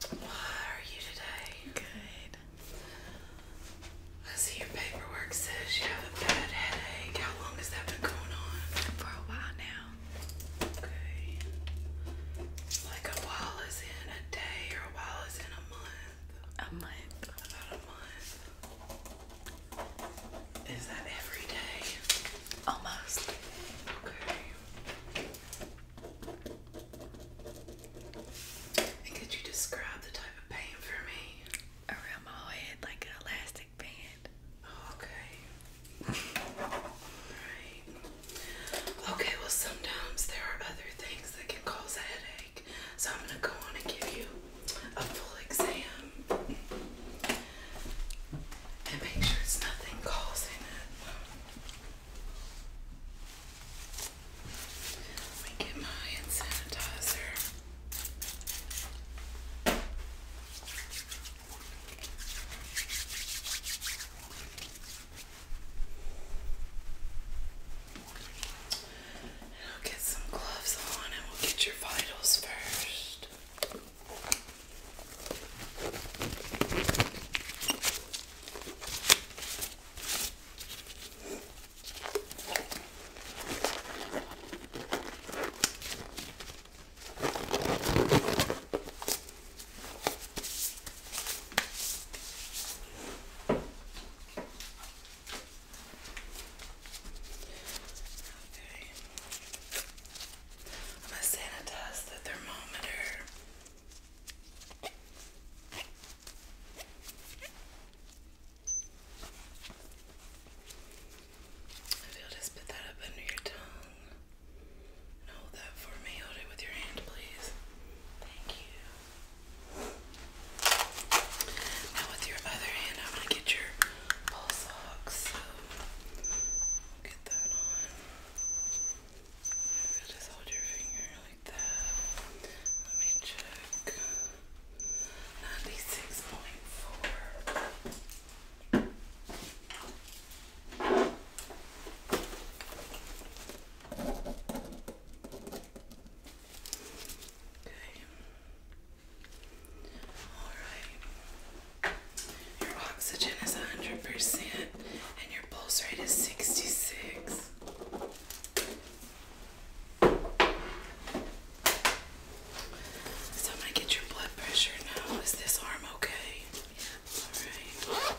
Why are you today? Good. I see your paperwork says you have a bad headache. How long has that been going on? For a while now. Okay. Like a while is in a day or a while is in a month. A month. About a month. Is that every day? Almost. Okay. And could you describe the type of pain for me? Around my head, like an elastic band. Oh, okay. Alright. Okay, well, sometimes there are other things that can cause a headache. So I'm going to go on and give you a full exam. And make sure it's nothing causing it. Let me get my sanitizer. I'll get some gloves on and we'll get your vitals first. Okay. I'm going to sanitize the thermometer if just put that up under your tongue hold that for me, hold it with your hand, please. Thank you. Now, with your other hand, I'm going to get your pulse ox. get that on. So just hold your finger like that. Let me check. 96.4. Okay. All right. Your oxygen is 100% and your pulse rate is 66. So i get your blood pressure now. Is this arm okay? Yeah. All right.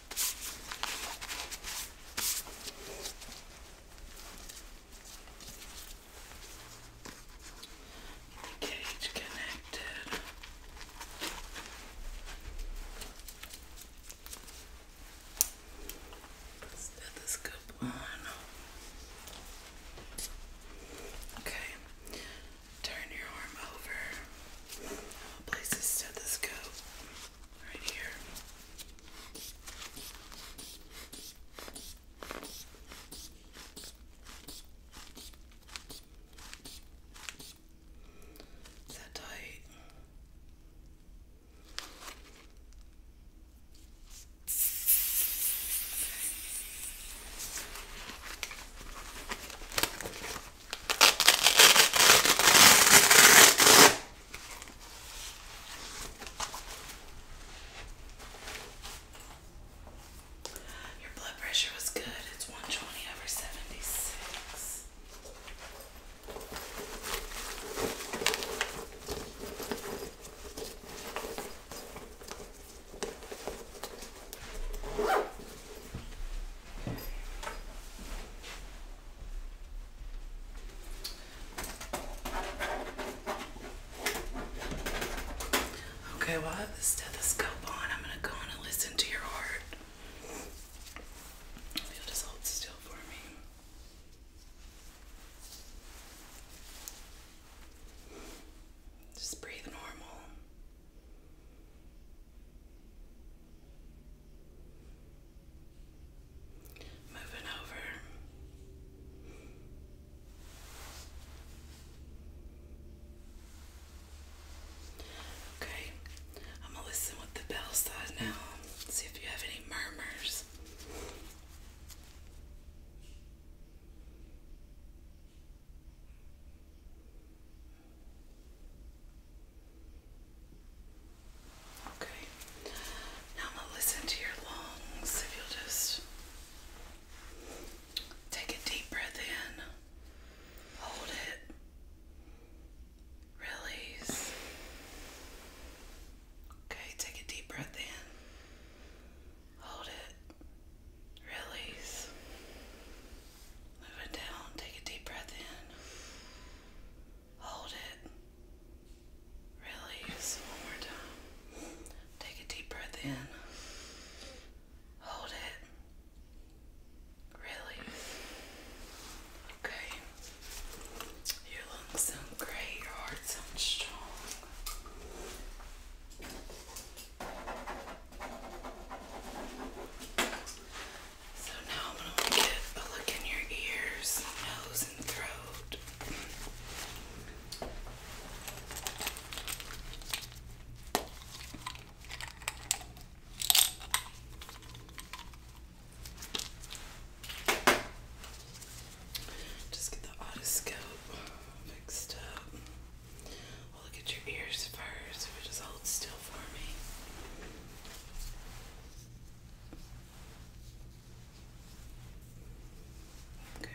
The cage connected. Let's Okay, turn your arm over. Places the scope right here. Is that tight? Your blood pressure was good. It's 120 over 76. Okay, well, I have the stethoscope on. I'm going to go on and listen to your heart. just hold still for me. Just breathe normal. Moving over. Okay, I'm gonna listen with the bell side now. See if you have any murmurs. Okay. Now I'm gonna listen to your lungs. If you'll just take a deep breath in, hold it, release. Okay, take a deep breath in, hold it, release. Move down. Take a deep breath in. Hold it. Release. One more time. Take a deep breath in. Hold it. Release. Okay. Your lungs sound great. Your heart sounds strong. So now I'm gonna get a look in your ears, nose, and throat. Just get the otoscope fixed up we look at your ears first. just hold still for me. Okay.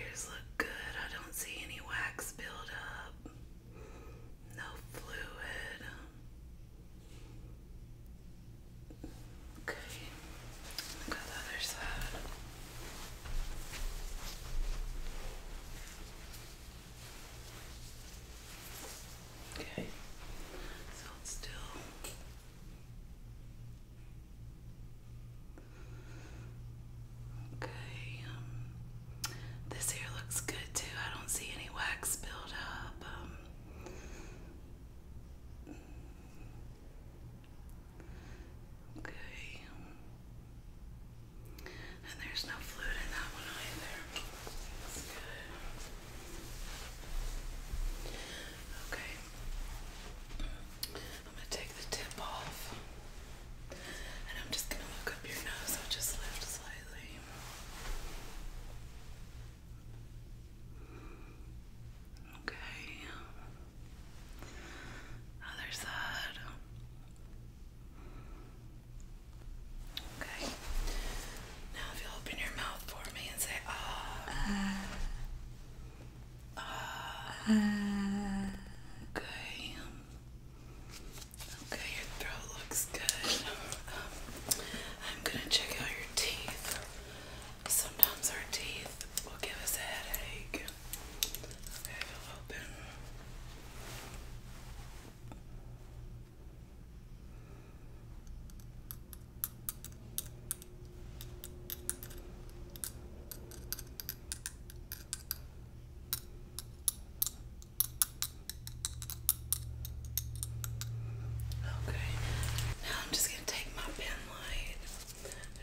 Ears look good. I don't see any wax build up. No fluid. Okay, got the other side. Okay, so it's still. Okay, um, this here looks good too. I don't see any wax build um, Okay. And there's no fluid in that one either. That's good. Okay. I'm going to take the tip off. And I'm just going to look up your nose, i just lift slightly. Okay. Other side. Okay. Now, if you open your mouth for me and say ah. Uh, ah. okay. Okay, your throat looks good. Um, I'm gonna check out your teeth. Sometimes our teeth will give us a headache. Okay, they open. Okay, now I'm just going to take my pen light.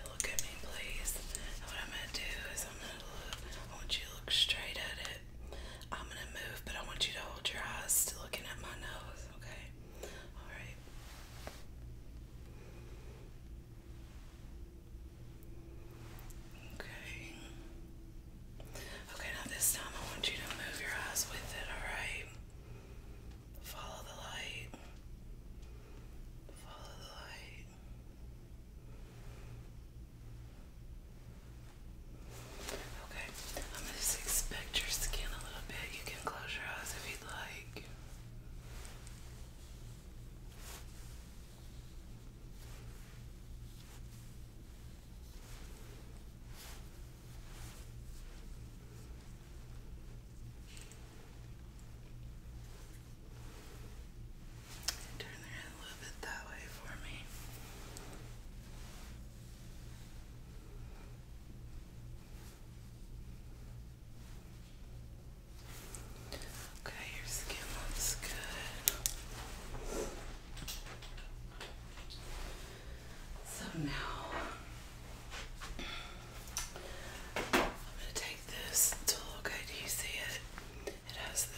Look at me, please. what I'm going to do is I'm going to look, I want you to look straight at it. I'm going to move, but I want you to hold your eyes still, looking at my nose, okay? Alright. Okay. Okay, now this time I want you to move your eyes with it, alright? Follow the light. Follow the light. Okay, I'm gonna just your skin a little bit. You can close your eyes if you'd like. Turn their head a little bit that way for me. Okay, your skin looks good. So now I'm going to take this tool. Okay, do you see it? It has the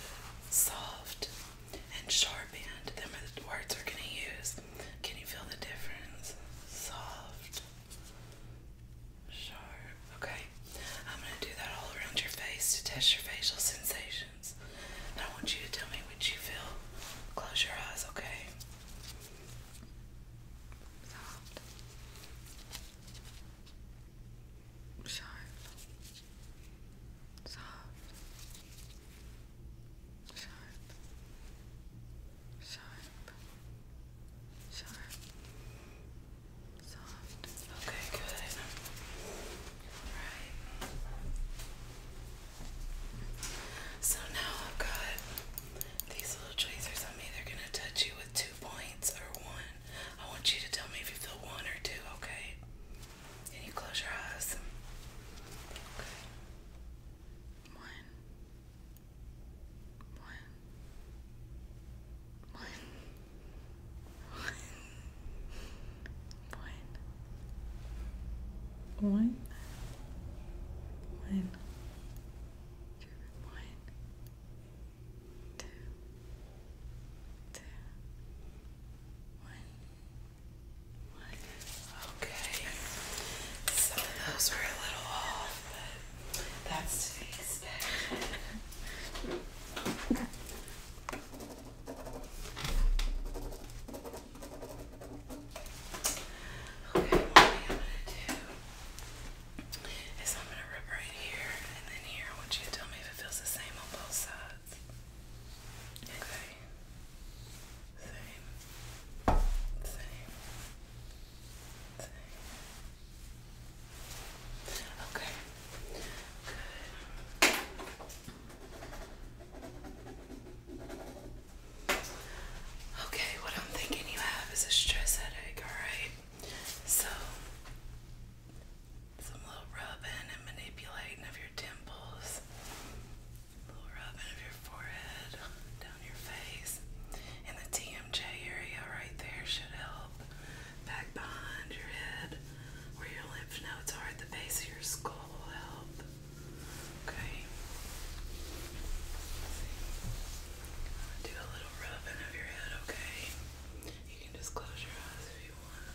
soft and sharp end. Them are the words are going to use. Can you feel the difference? Soft, sharp. Okay, I'm going to do that all around your face to test your facial sensation. I want you to tell me what you feel. Close your eyes, okay? Soft. Sharp. Soft. Sharp. Sharp. Sharp. Soft. Okay, good. So now I've got these little tracers on me. They're gonna touch you with two points or one. I want you to tell me if you feel one or two, okay? Can you close your eyes. Okay. One. One. One. Wine. Wine. Wine. One, two, two, one, one. Okay. So those were a little off, but that's to be expected. Okay, what I'm gonna do is I'm gonna rub right here and then here. I want you to tell me if it feels the same on both sides. Okay. Same. Same. Same. Okay. Good. Okay, what I'm thinking you have is a stress headache, alright? So, some little rubbing and manipulating of your temples, a little rubbing of your forehead, down your face, and the TMJ area right there should help back behind your head where your lymph nodes are at the base of your skull will help. Okay. Do a little rubbing of your head, okay? You can just close your eyes if you want.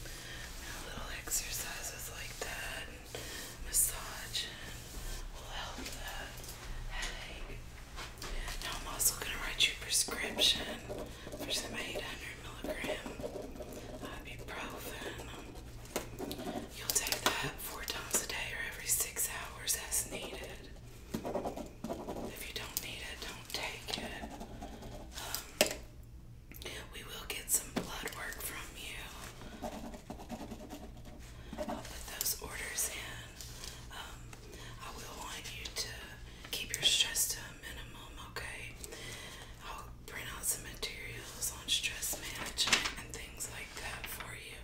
And little exercises like that and massage and will help the headache I'm also going to write you a prescription for some 800 milligram ibuprofen. You'll take that four times a day or every six hours as needed. If you don't need it, don't take it. Um, we will get some blood work from you. I'll put those orders in. Um, I will want you to keep your stress to a minimum, okay? I'll print out some materials on stress management and things like that for you.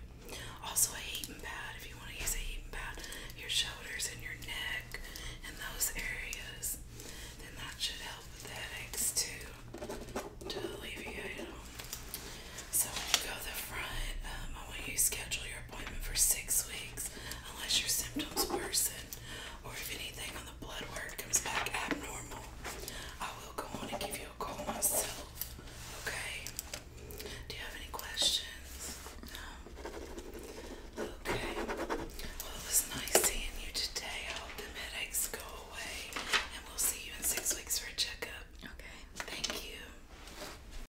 Also, a heating pad if you want to use a heating pad, your shoulders and your neck and those areas. Then that should help with the headaches too to alleviate them. So go the front, um, I want you schedule your appointment for six weeks unless your symptoms worsen or if anything on the blood work comes back abnormal. I will go on and give you a call myself. Okay? Do you have any questions? No? Okay. Well, it was nice seeing you today. I hope the headaches go away and we'll see you in six weeks for a checkup. Okay. Thank you.